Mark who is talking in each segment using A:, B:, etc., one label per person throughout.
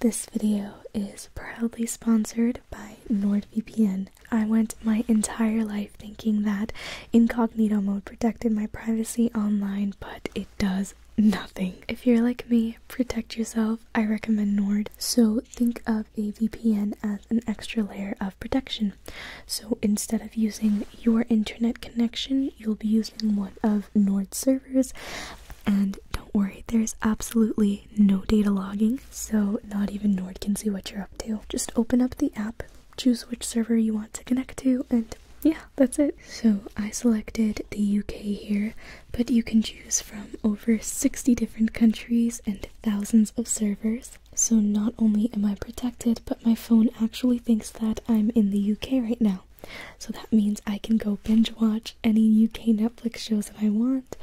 A: This video is proudly sponsored by NordVPN. I went my entire life thinking that incognito mode protected my privacy online, but it does nothing. If you're like me, protect yourself. I recommend Nord. So think of a VPN as an extra layer of protection. So instead of using your internet connection, you'll be using one of Nord's servers and don't worry, there's absolutely no data logging, so not even Nord can see what you're up to. Just open up the app, choose which server you want to connect to, and yeah, that's it. So I selected the UK here, but you can choose from over 60 different countries and thousands of servers. So not only am I protected, but my phone actually thinks that I'm in the UK right now. So that means I can go binge watch any UK Netflix shows that I want.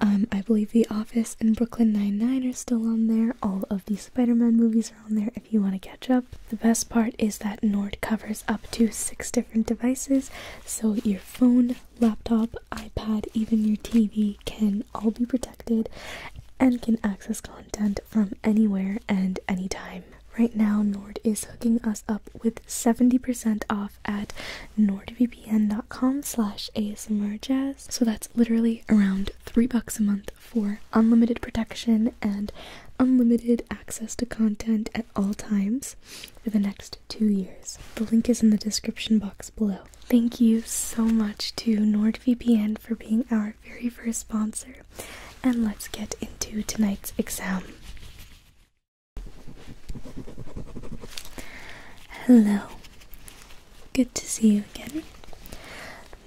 A: Um, I believe The Office and Brooklyn Nine-Nine are still on there. All of the Spider-Man movies are on there if you want to catch up. The best part is that Nord covers up to six different devices, so your phone, laptop, iPad, even your TV can all be protected and can access content from anywhere and anytime. Right now, Nord is hooking us up with 70% off at nordvpn.com slash asmrjazz. So that's literally around three bucks a month for unlimited protection and unlimited access to content at all times for the next two years. The link is in the description box below. Thank you so much to NordVPN for being our very first sponsor, and let's get into tonight's exam. Hello. Good to see you again.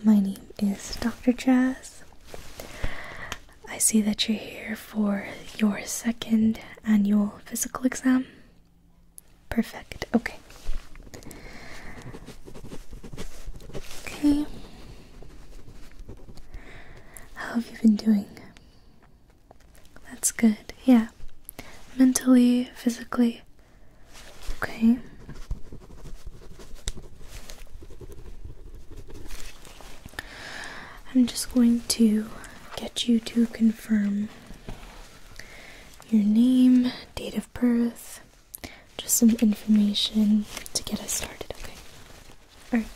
A: My name is Dr. Jazz. I see that you're here for your second annual physical exam. Perfect. Okay. Okay. How have you been doing? That's good, yeah. Mentally, physically. Okay. I'm just going to get you to confirm your name, date of birth, just some information to get us started, okay? Alright.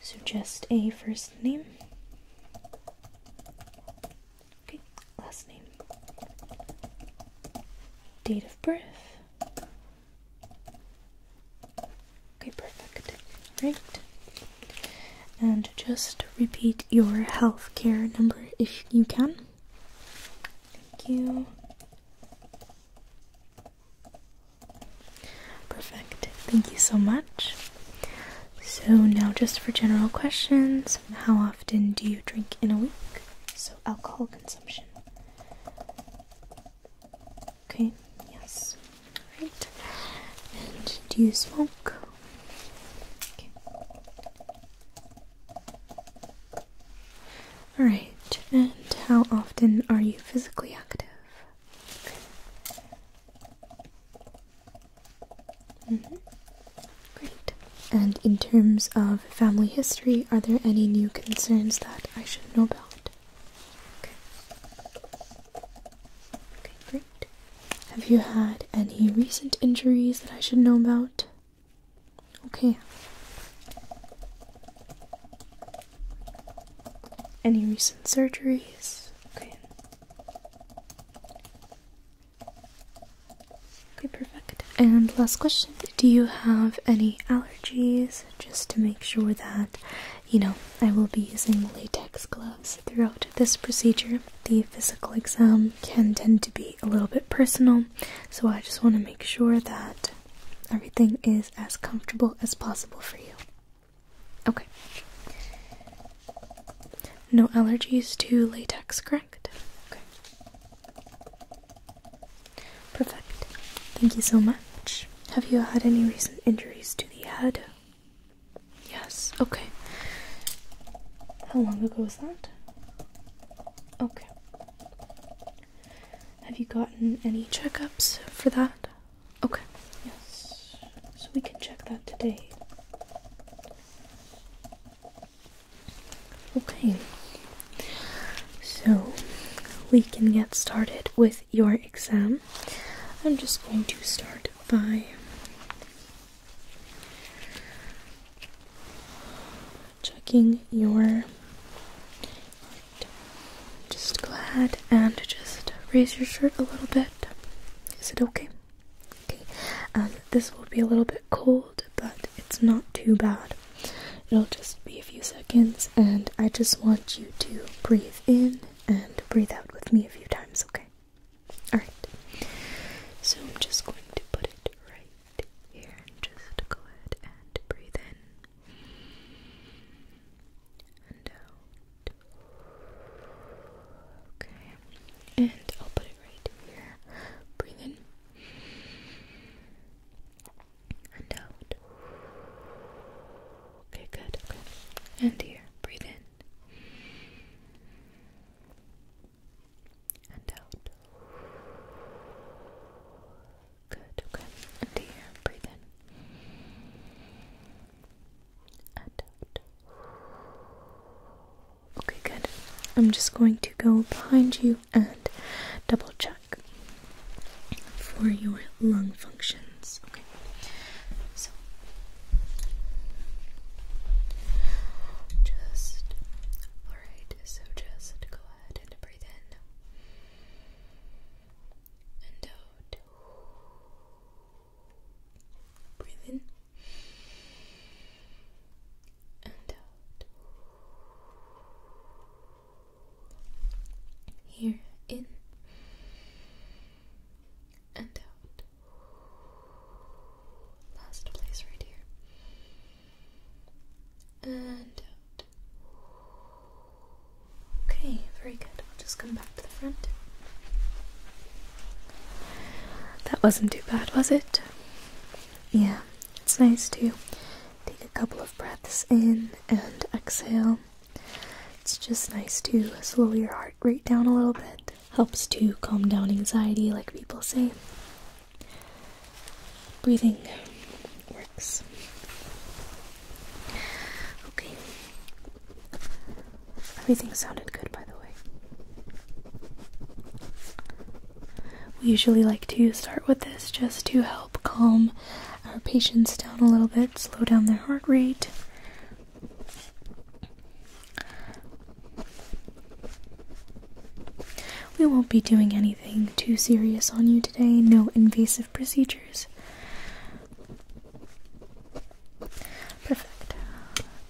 A: So just a first name. Okay, last name. Date of birth. Okay, perfect. Right. And just repeat your healthcare number if you can. Thank you. Perfect. Thank you so much. So, now just for general questions, how often do you drink in a week? So, alcohol consumption. Okay, yes. Alright. And do you smoke? Okay. Alright, and how often are you physically active? Mm-hmm. Great. And in terms of family history, are there any new concerns that I should know about? Okay, great. Have you had any recent injuries that I should know about? Okay. Any recent surgeries? Okay. perfect. And last question Do you have any allergies? Just to make sure that, you know, I will be using latex gloves throughout this procedure. The physical exam can tend to be a little bit personal, so I just want to make sure that everything is as comfortable as possible for you. Okay. No allergies to latex, correct? Okay. Perfect. Thank you so much. Have you had any recent injuries to the head? Yes. Okay. How long ago was that? Okay. Have you gotten any checkups for that? Okay, yes. So we can check that today. Okay. So we can get started with your exam. I'm just going to start by checking your just go ahead and just raise your shirt a little bit. Is it okay? Okay. Um, this will be a little bit cold, but it's not too bad. It'll just be a few seconds, and I just want you to breathe in and breathe out with me a few times, okay? Alright. So I'm just going to put it right here and just go ahead and breathe in and out. Okay, and I'll put it right here. Breathe in and out. Okay, good. Okay, and here. Breathe in and out. Good. Okay, and here. Breathe in Okay, good. I'm just going to go behind you and double check for your lung functions. Okay, so just all right. So just go ahead and breathe in and out. Breathe in and out. Here, in and out. Last place right here. And out. Okay, very good. I'll just come back to the front. That wasn't too bad, was it? Yeah, it's nice to take a couple of breaths in and exhale. It's just nice to slow your heart rate down a little bit. Helps to calm down anxiety, like people say. Breathing works. Okay. Everything sounded good, by the way. We usually like to start with this just to help calm our patients down a little bit, slow down their heart rate. We won't be doing anything too serious on you today, no invasive procedures. Perfect.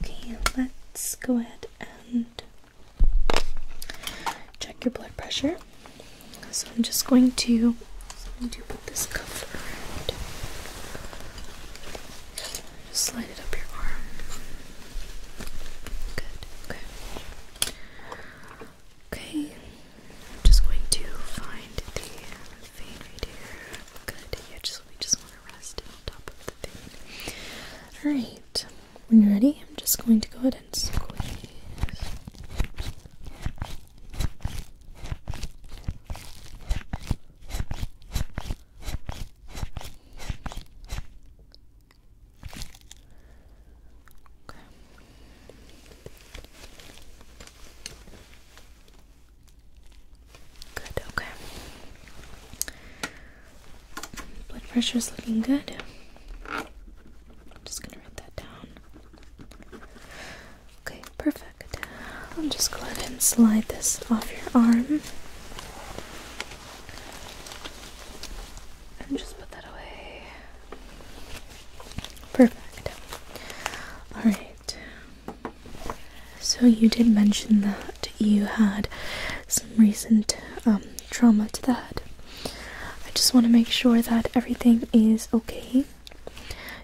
A: Okay, let's go ahead and check your blood pressure. So I'm just going to, so put this cuff around. Just slide it up your arm. Good. Okay. Okay. I'm just going to find the vein right here. do it just so we just want to rest on top of the vein. Alright. When you're ready, I'm just going to go ahead and squeeze. Good, okay. Blood pressure is looking good. Just gonna write that down. Okay, perfect. I'll just go ahead and slide this off your arm. And just put that away. Perfect. Alright, so you did mention that you had some recent um, trauma to the head. I just want to make sure that everything is okay.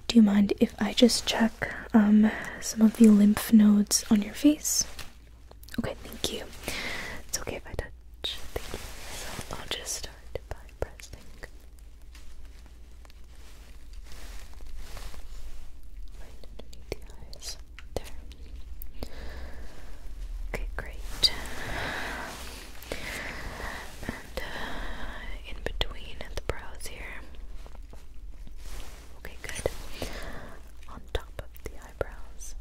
A: Do you mind if I just check um, some of the lymph nodes on your face? Okay, thank you. It's okay if I touch. I'll just start by pressing right underneath the eyes there okay great and uh, in between at the brows here okay good on top of the eyebrows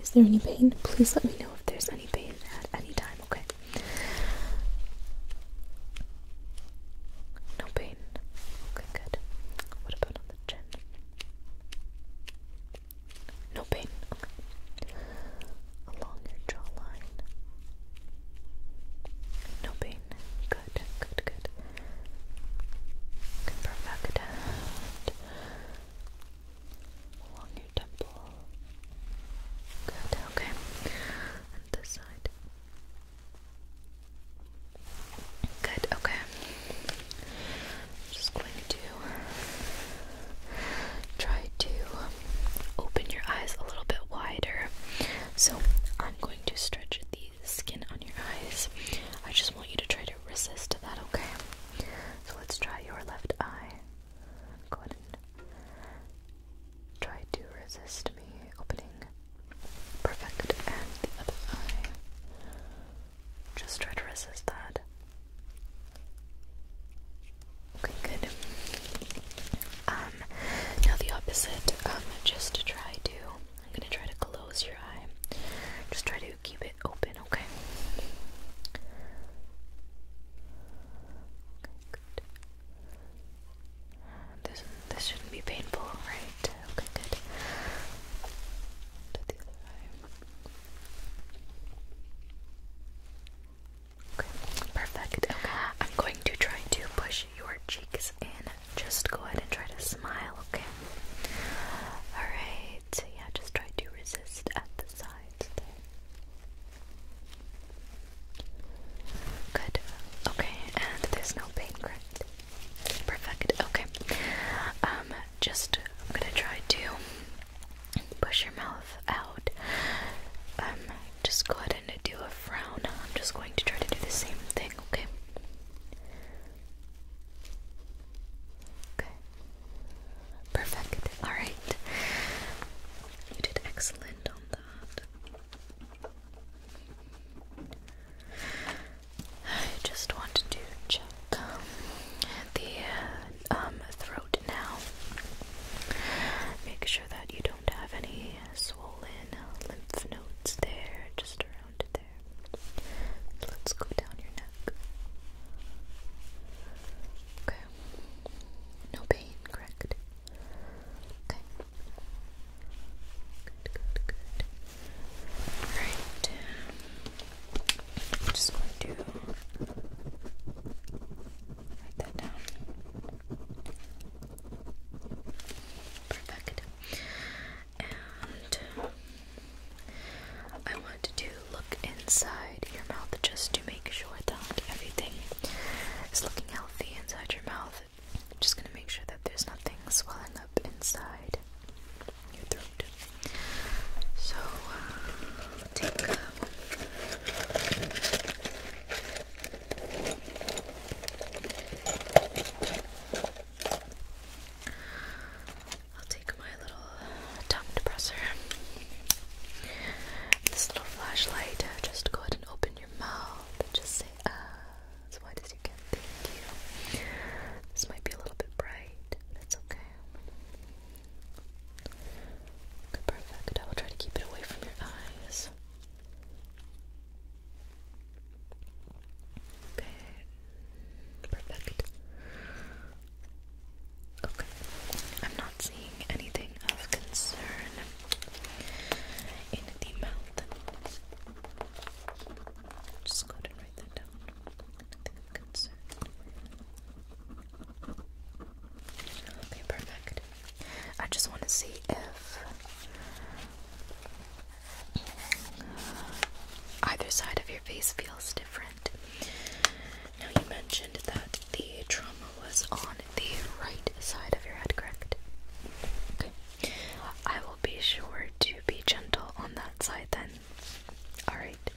A: is there any pain? Please let me know if there's any pain at any time okay? No pain. Okay, good. What about on the chin? No pain. Along your jawline. No pain. Good, good, good. Okay, perfect. Along your temple. Good, okay. this side. Good, okay. just going to try to open your eyes a little bit wider. So I'm going to stretch the skin on your eyes. I just want you to try to resist that, okay? So let's try your left eye. Gordon try to resist me opening perfect and the other eye. Just try to resist that. Okay, good. Um, now the opposite. Um, just try to, I'm gonna try to close your eye. Just try to keep it open, okay? Okay, good. This this shouldn't be painful, right? Okay, good. perfect. I'm going to try to push your cheeks in. Just go ahead and try to smile, okay? Alright, yeah, just try to resist at the sides Good. Okay, and there's no pain, correct? Perfect. Okay. Um, just I'm gonna try to push your mouth out. Um, just go ahead and do a frown. I'm just going to try to do the same thing, okay? Okay. Perfect. Alright. You did excellent on I just wanted to check the uh, um, throat now. Make sure that you don't have any swollen lymph nodes there, just around there. Let's go down your neck. Okay. No pain, correct? Okay. Good, good, good. Alright. Um, I'm just going to write that down. Perfect. And I want to look inside your mouth just to make sure that everything is looking healthy inside your mouth. i just gonna make sure that there's nothing swelling up inside your throat. So uh, uh, I'll take my little tongue depressor. This little flashlight. Uh, just go ahead and open your mouth. Just say, ah, uh, as you can. Thank you. This might be a little bit bright. That's okay. Okay, perfect. I will try to keep it away from your eyes. Okay. Perfect. Okay. I'm not seeing anything of concern in the mouth. Just go ahead and write that down. Nothing of concern. Okay, perfect. I just want to see if either side of your face feels different. Now, you mentioned that the trauma was on the right side of your head, correct? Okay. I will be sure to be gentle on that side then. Alright.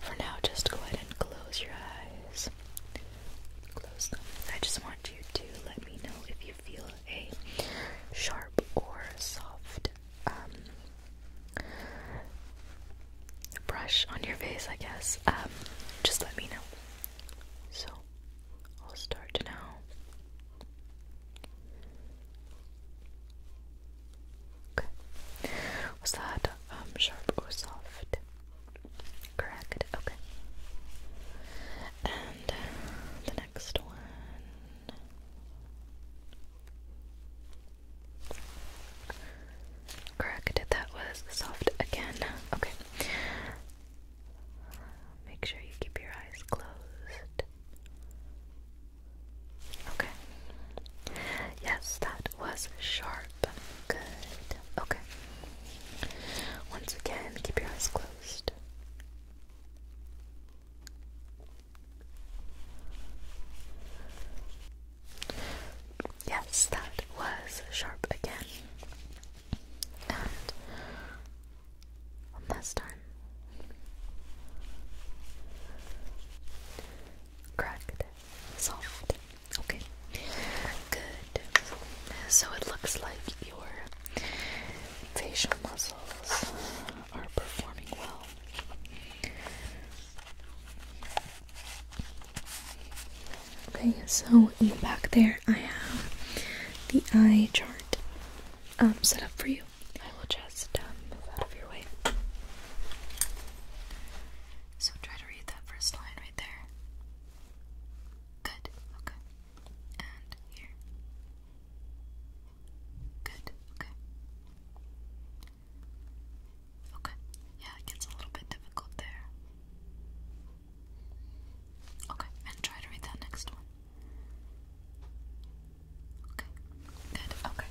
A: For now, just go ahead and close your eyes. Close them. I just want you to let me know if you feel a sharp or soft um, brush on your face, I guess. Um, just let me know. So, I'll start now. Okay. Was that um, sharp or soft? Correct. Okay. And uh, the next one. Correct. That was soft again. Okay. Make sure you keep your eyes closed. Okay. Yes, that was sharp. Good. Okay. Once again, keep your eyes closed. Yes, that was sharp again. And one time. Cracked. Soft. Okay. Good. So it looks like your facial muscles are performing well. Okay, so in the back there, I have the eye chart um, set up for you. I will just um, move out of your way. So try to read that first line right there. Good. Okay. And here. Good. Okay. Okay. Yeah, it gets a little bit difficult there. Okay, and try to read that next one. Okay, good, okay.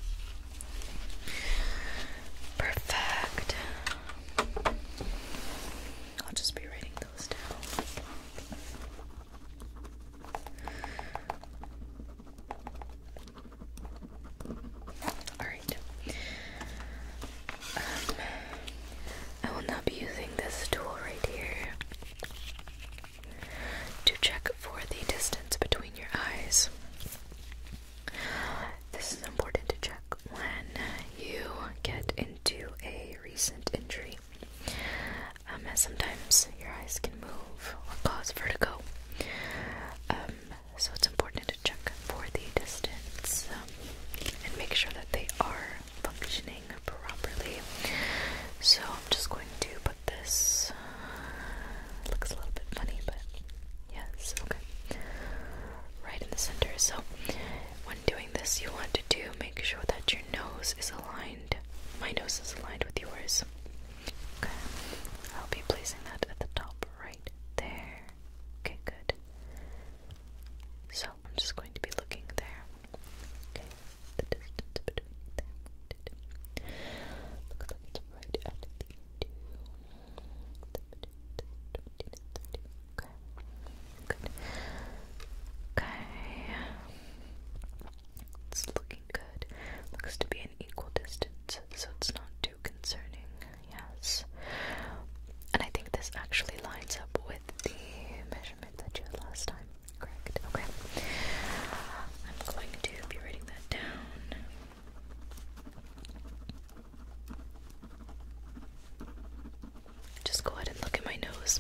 A: Perfect. I'll just be writing those down. Alright. Um, I will not be using this tool right here to check for the distance between your eyes. This is important to check when you get into a recent injury, um, as sometimes your eyes can move or cause vertigo. Um, so it's important to check for the distance and make sure that they are functioning properly. So I'm just going to put this. Uh, looks a little bit funny, but yes, okay. Right in the center. So when doing this, you want to do make sure that your nose is aligned. My nose is aligned with yours. Okay, I'll be placing that at the top right there. Okay, good. So I'm just going to be looking there. Okay, the distance between them. Looks like right at the two. Okay, good. Okay, it's looking good. Looks to be an equal distance, so it's not too concerning. Yes, and I think this actually lines up with the measurement that you had last time, correct? Okay. I'm going to be writing that down. Just go ahead and look at my nose.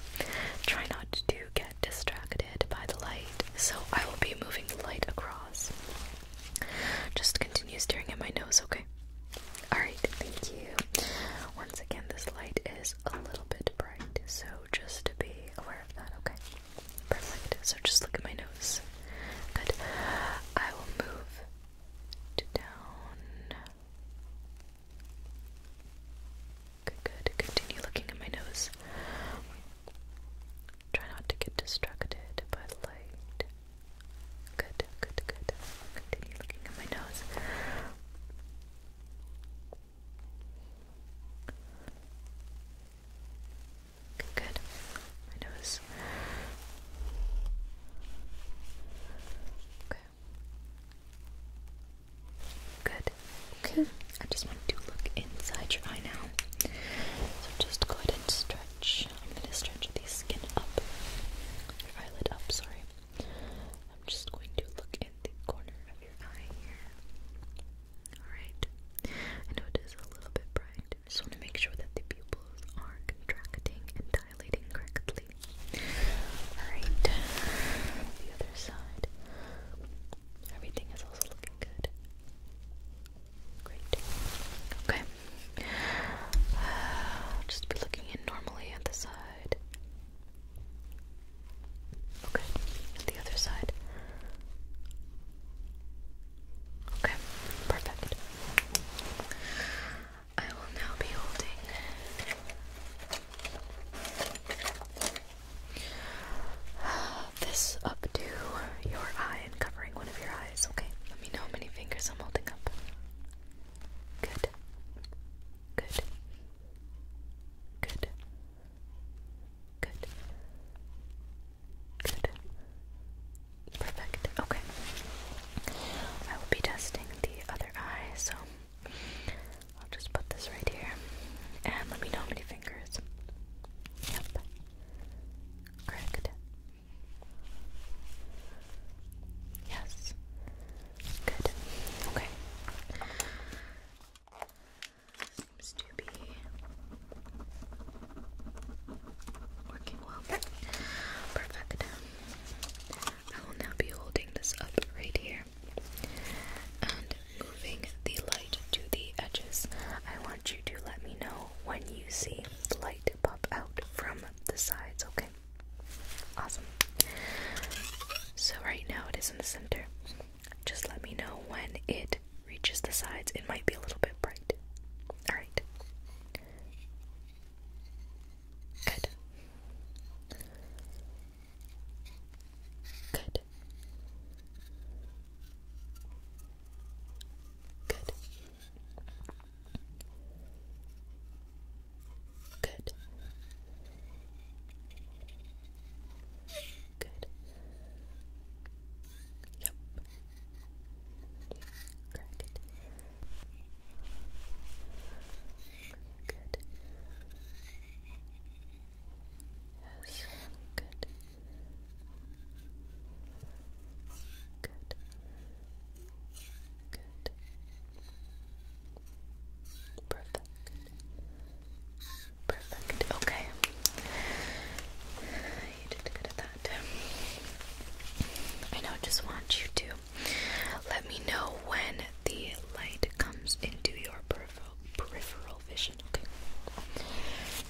A: Try not to get distracted by the light. So I will be moving the light across. Just continue staring at my nose, okay? Alright, thank you. Once again, this light is a little bit bright, so just to be aware of that, okay? Perfect. So just look at my nose. Good. I will move to down. Good, good. Continue looking at my nose. Try not to get distracted by light. Good, good, good. Continue looking at my nose. Good, My nose. Okay. Good. Okay. I just want to look inside your eye now. So just go ahead and stretch. I'm gonna stretch the skin up. Your eyelid up, sorry. I'm just going to look in the corner of your eye here. Alright. I know it is a little bit bright. I just want to make sure that the pupils are contracting and dilating correctly. Alright. The other side. Everything is also looking good. Great. Okay. I'll uh, just be looking in normally at the side. Okay, the other side. Okay, perfect. I will now be holding this up to your eye and covering one of your eyes, okay? Let me know how many fingers I'm holding up. Good. Good. Good. Good. Good. Perfect. Okay. I will be testing the other eye, so I'll just put this right here. And let me know how many fingers. Yep. Correct. Yes. Good. Okay. Seems to be working well. Perfect. I will now be holding this up right here and moving the light to the edges. I want you to let me know when you see the light pop out from the sides, okay? Awesome. So right now it is in the center. Just let me know when it reaches the sides. It might be a little bit bright. Alright. Good. Good. Good. Good. Good. Yep. Crack it. Good. Yes. Good. Good. Good. Perfect. Perfect. Okay. You did good at that. I now just want you to let me know when the light comes into your peripheral, peripheral vision. Okay.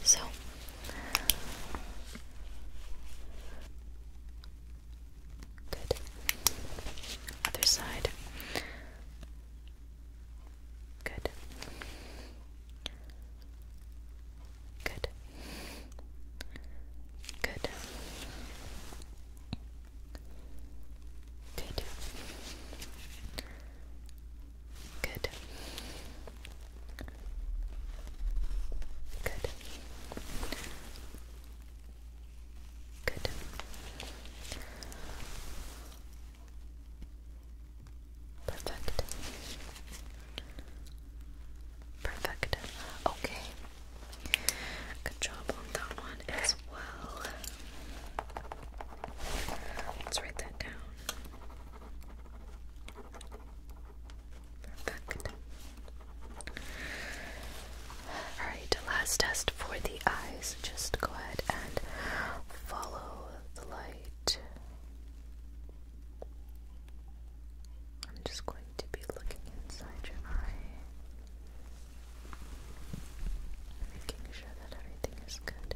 A: So. Good. Other side. Good. Good. Good. Good. Good. Good. Good. Perfect. Perfect. Okay. Good job on that one as well. Let's write that down. Perfect. Alright, last test for the eyes. Just go ahead and follow the light. I'm just going to be looking inside your eye, making sure that everything is good.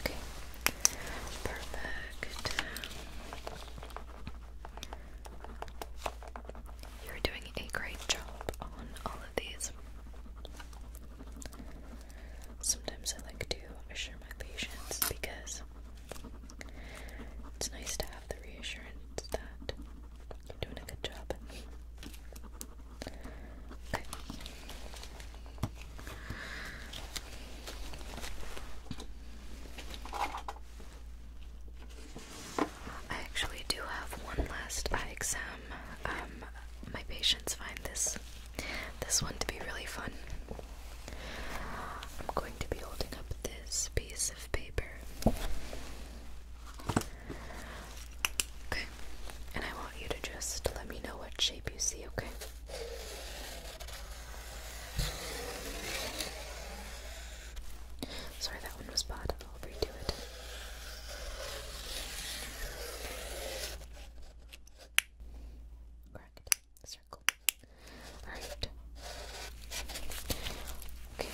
A: Okay. Perfect. You're doing a great job on all of these. Sometimes I like to assure my patients because it's nice to have the reassurance that you're doing a good job. I actually do have one last exam. Um, my patients find this this one to be really fun. I'm going to be holding up this piece of paper. Okay, and I want you to just let me know what shape you see, okay? Sorry, that one was bad. I'll redo it. Correct. Circle. Alright. Okay.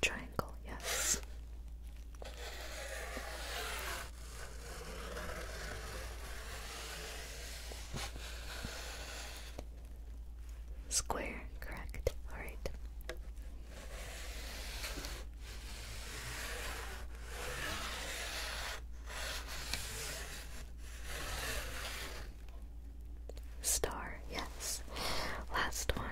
A: Triangle, yes. Square, correct. All right. Star, yes. Last one.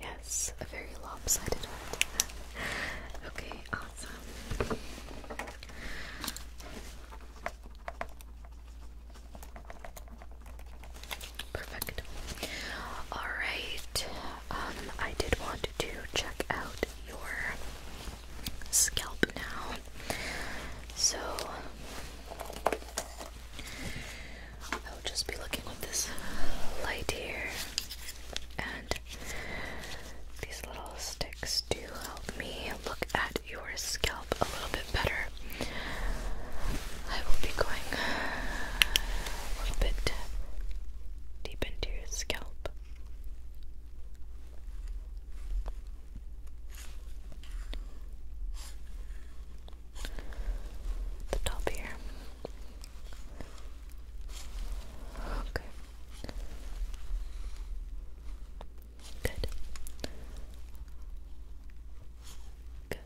A: Yes, a very lopsided one. okay, awesome. Perfect. Alright, um, I did want to check out your scalp now. So I'll just be looking with this light here and these little sticks do help me look at your scalp a little bit better. I will be going a little bit deep into your scalp. The top here. Okay. Good. Good.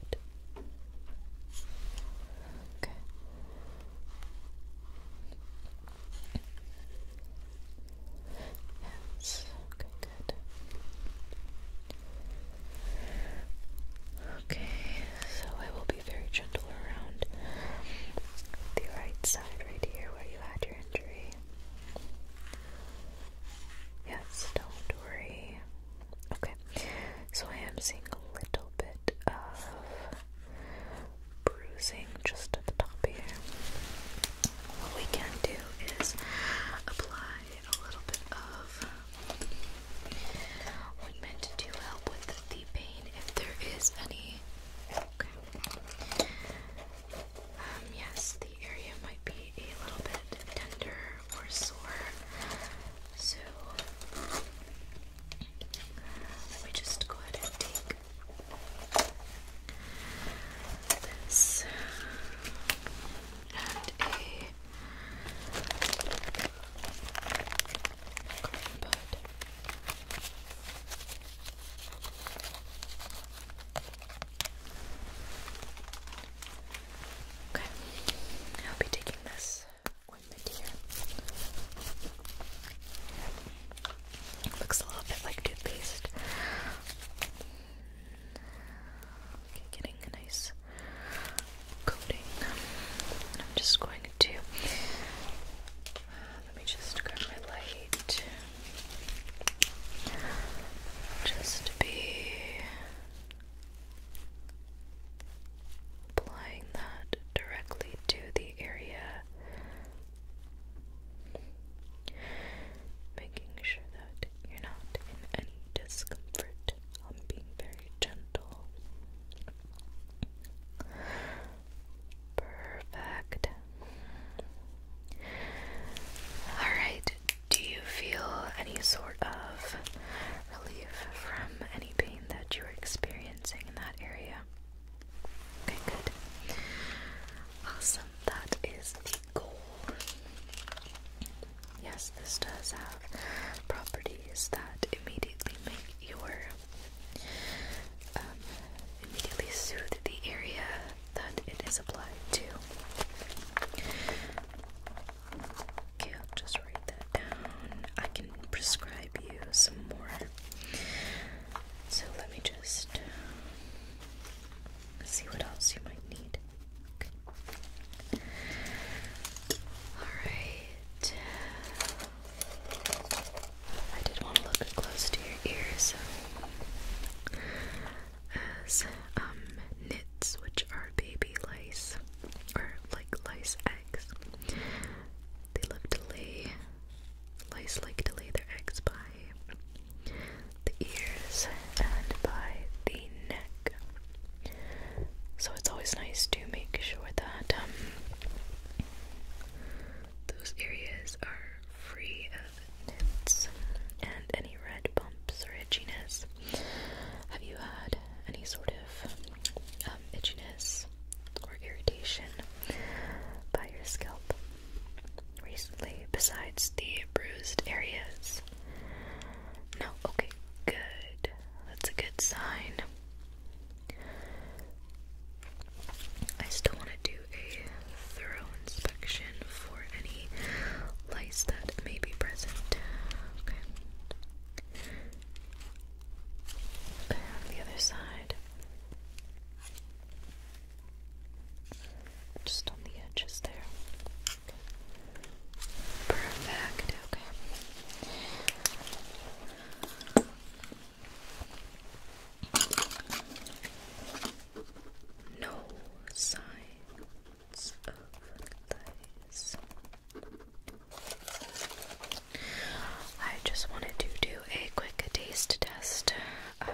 A: Okay. Yes, okay, good. Okay, so I will be very gentle around the right side right here where you had your injury. Yes, don't worry. Okay, so I am seeing a little bit of bruising just at the top here. What we can do is apply a little bit of ointment to help with the pain if there is any. Um, yes, the area might be a little bit tender or sore, so let me just go ahead and take this and a cotton Okay, I'll be taking this looks a little bit like toothpaste. Okay, getting a nice coating. I'm just going to. let me just grab my light. Just be applying that directly to the area, making sure that you're not in any discomfort. I'm being very gentle. Perfect. Alright, do you feel any sort of relief from any pain that you're experiencing? in that area. Okay, good. Awesome. That is the goal. Yes, this does have properties that immediately make your um, immediately soothe the area that it is applied to. Okay, just write that I can prescribe you some more. So let me just see what else you might need. Alright. I did want to look close to your ears. As um, nits, which are baby lice, or like lice eggs, they love to lay, lice like to lay their eggs by the ears and by the neck. So it's always nice to make sure that um, those areas are free of nits and any red bumps or itchiness. Have you had any sort of um, um, itchiness or irritation by your scalp recently, besides the bruised areas? No? Okay, good. That's a good sign. I still want to do a thorough inspection for any lice that may be present. Okay, on the other side. Just on the edges there. Perfect, okay. No signs of lice. I just wanted to do a quick taste test. Uh,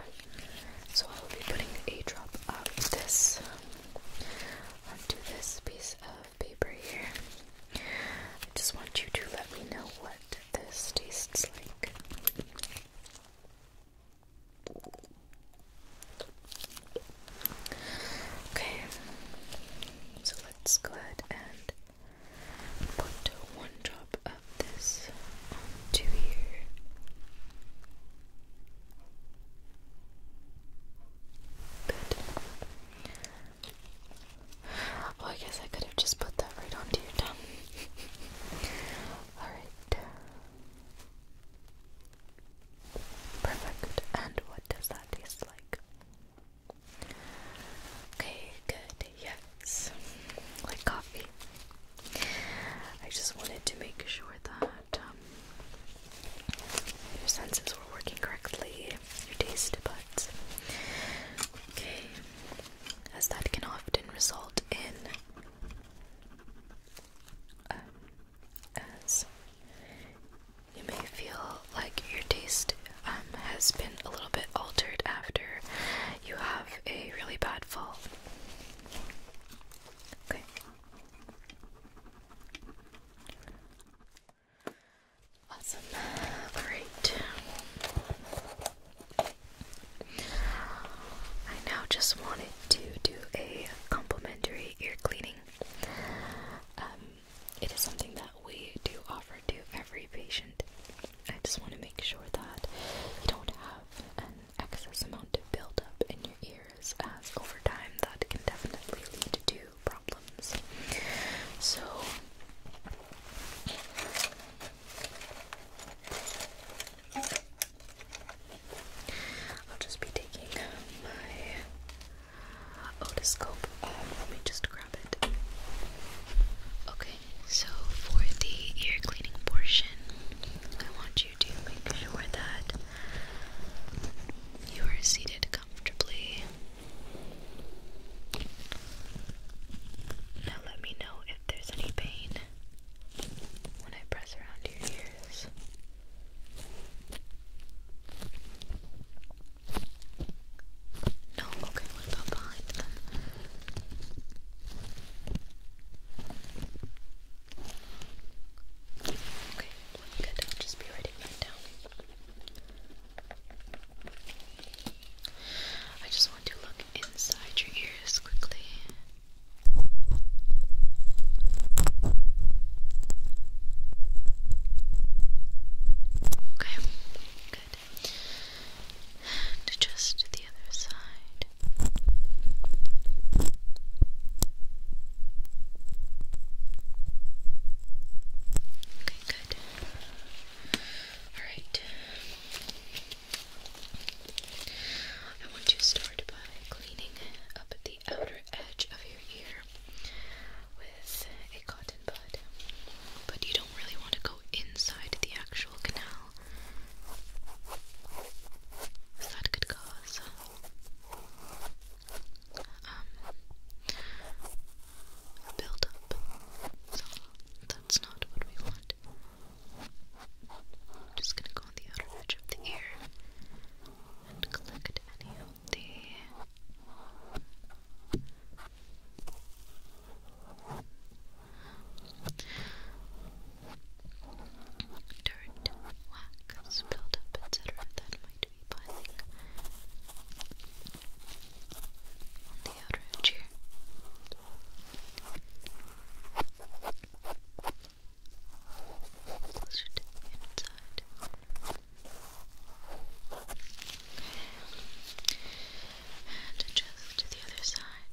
A: so I'll be putting a drop of this onto this piece of paper here. I just want you to let me know what this tastes like. Okay, so let's go ahead and Put one drop of this onto here. Good. Oh, I guess I could have just put that right onto your tongue. Alright. Perfect. And what does that taste like? Okay, good. Yes. Like coffee. I just wanted to make sure that um, your senses were working correctly, your taste buds. As that can often result in um, as you may feel like your taste um, has been a little bit altered after you have a really bad fall. Okay. Awesome. All right. I now just wanted to do a complimentary ear cleaning. Um, it is something that we do offer to every patient. I just want to make sure that you don't have an excess amount of up in your ears, as over time that can definitely lead to problems. So, I'll just be taking my otoscope. Um, let me just Okay, so for the ear cleaning portion, I want you to make sure that you are seated comfortably. Now let me know if there's any pain when I press around your ears. No, okay, what about behind Okay, good, i just be writing down. I just want to look inside your ears quickly. Okay, good side just the other side. Okay, good. Alright. I want to start by cleaning up the outer edge of your ear with a cotton bud, but you don't really want to go inside the actual canal. That could cause um, So that's not what we want. I'm just gonna go on the outer edge of the ear and collect any of the Dirt, wax, build etc. that might be piling on the outer edge here. inside and just to the other side.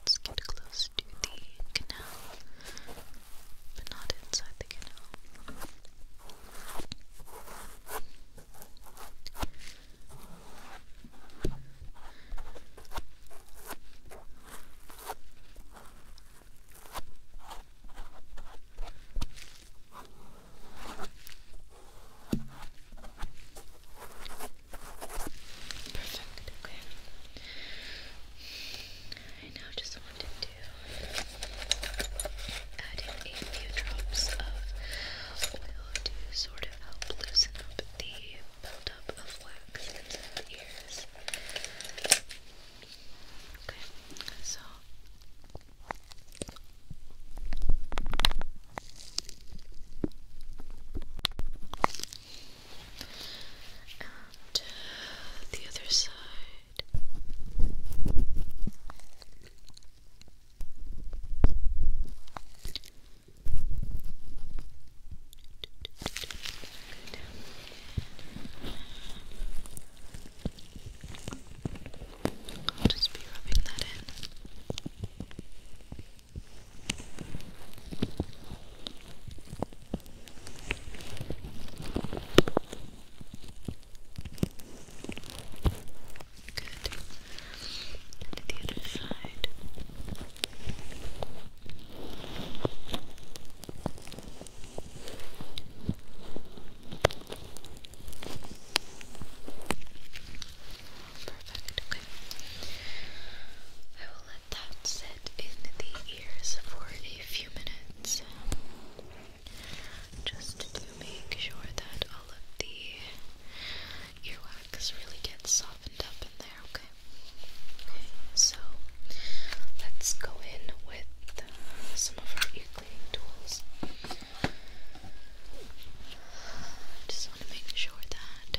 A: Let's get close to the canal, but not inside the canal. Perfect, okay. I now just wanted to add in a few drops of oil to sort of help loosen up the buildup of wax inside the ears. Okay, so. Uh, the other side. I'll just be rubbing that in. Good. And to the other side. Good. Perfect, okay. I will let that sit in the ears for a few minutes. Um, just to make sure that all of the earwax really gets softened up in there, okay? so let's go in with uh, some of our ear cleaning tools. Just want to make sure that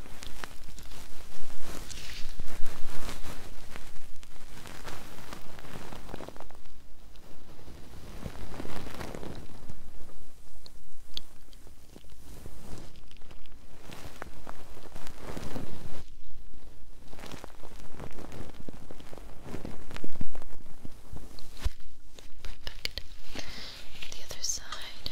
A: Perfect. The other side.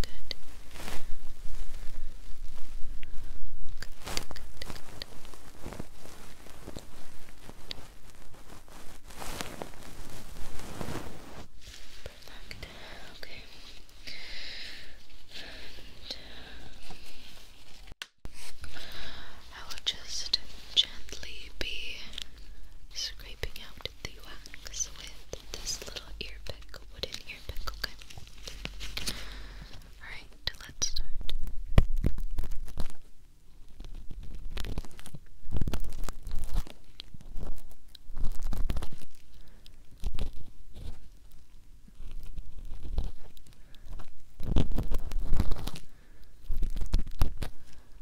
A: Good. Good, um, I will just gently be scraping out the wax with this little earpick, wooden earpick. okay? Alright, let's start. Okay.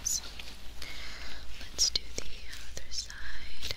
A: Awesome. Let's do the other side.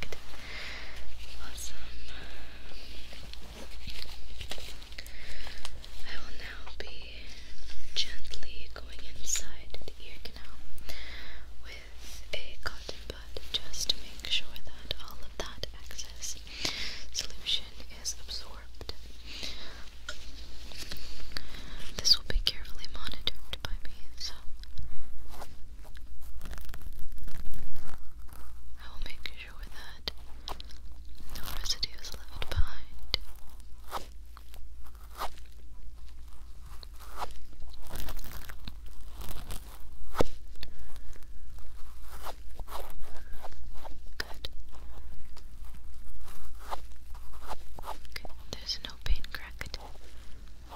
A: perfect. Awesome. I will now be gently going inside the ear canal with a cotton bud just to make sure that all of that excess solution is absorbed. This will be carefully monitored by me, I will make sure that no residue is left behind. Good. Okay, there's no paint cracked. Let's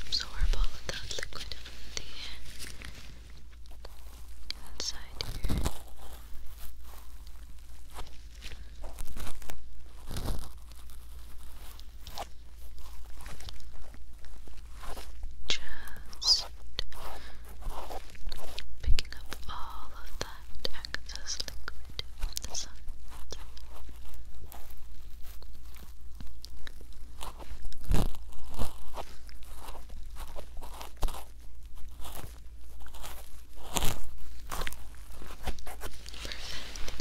A: absorb all of that liquid from the inside here. Good. Just picking up all of that excess liquid from the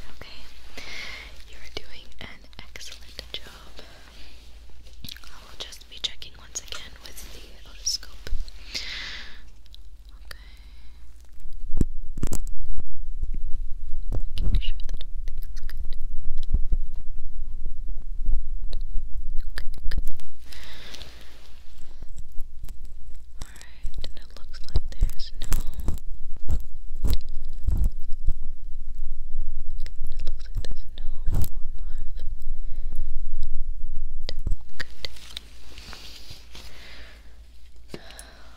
A: Okay. You're doing an excellent job. I will just be checking once again with the otoscope. Okay. Making sure that everything's good. Okay, good. Alright, and it looks like there's no.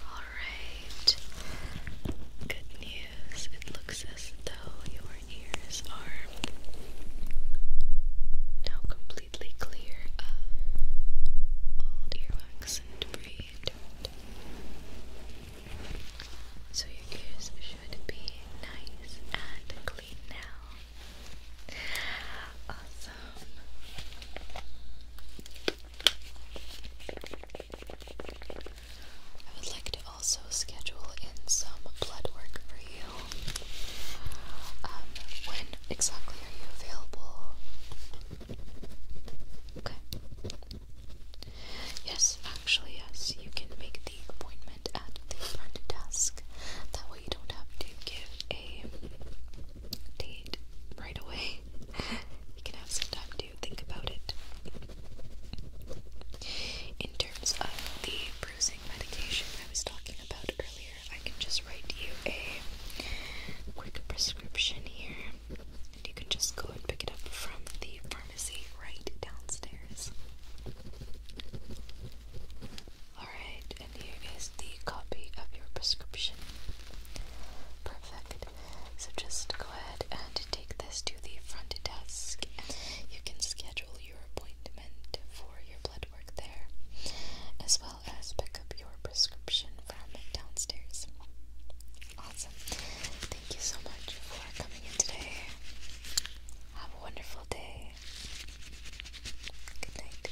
A: Alright. Good news. It looks as though your ears are now completely clear of all earwax and debris. So your ears should be nice and clean now. Awesome. I would like to also schedule in some blood work for you. Um, when exactly are you available? Okay. Yes, actually, yes, you can make appointment at the front desk. That way you don't have to give a date right away. you can have some time to think about it. In terms of the bruising medication I was talking about earlier, I can just write you a quick prescription here, and you can just go and pick it up from the pharmacy right downstairs. Alright, and here is the copy of your prescription. Perfect. So just go ahead and take this to the front desk. You can schedule your appointment for your blood work there, as well as pick up your prescription from downstairs. Awesome. Thank you so much for coming in today wonderful day. Good night.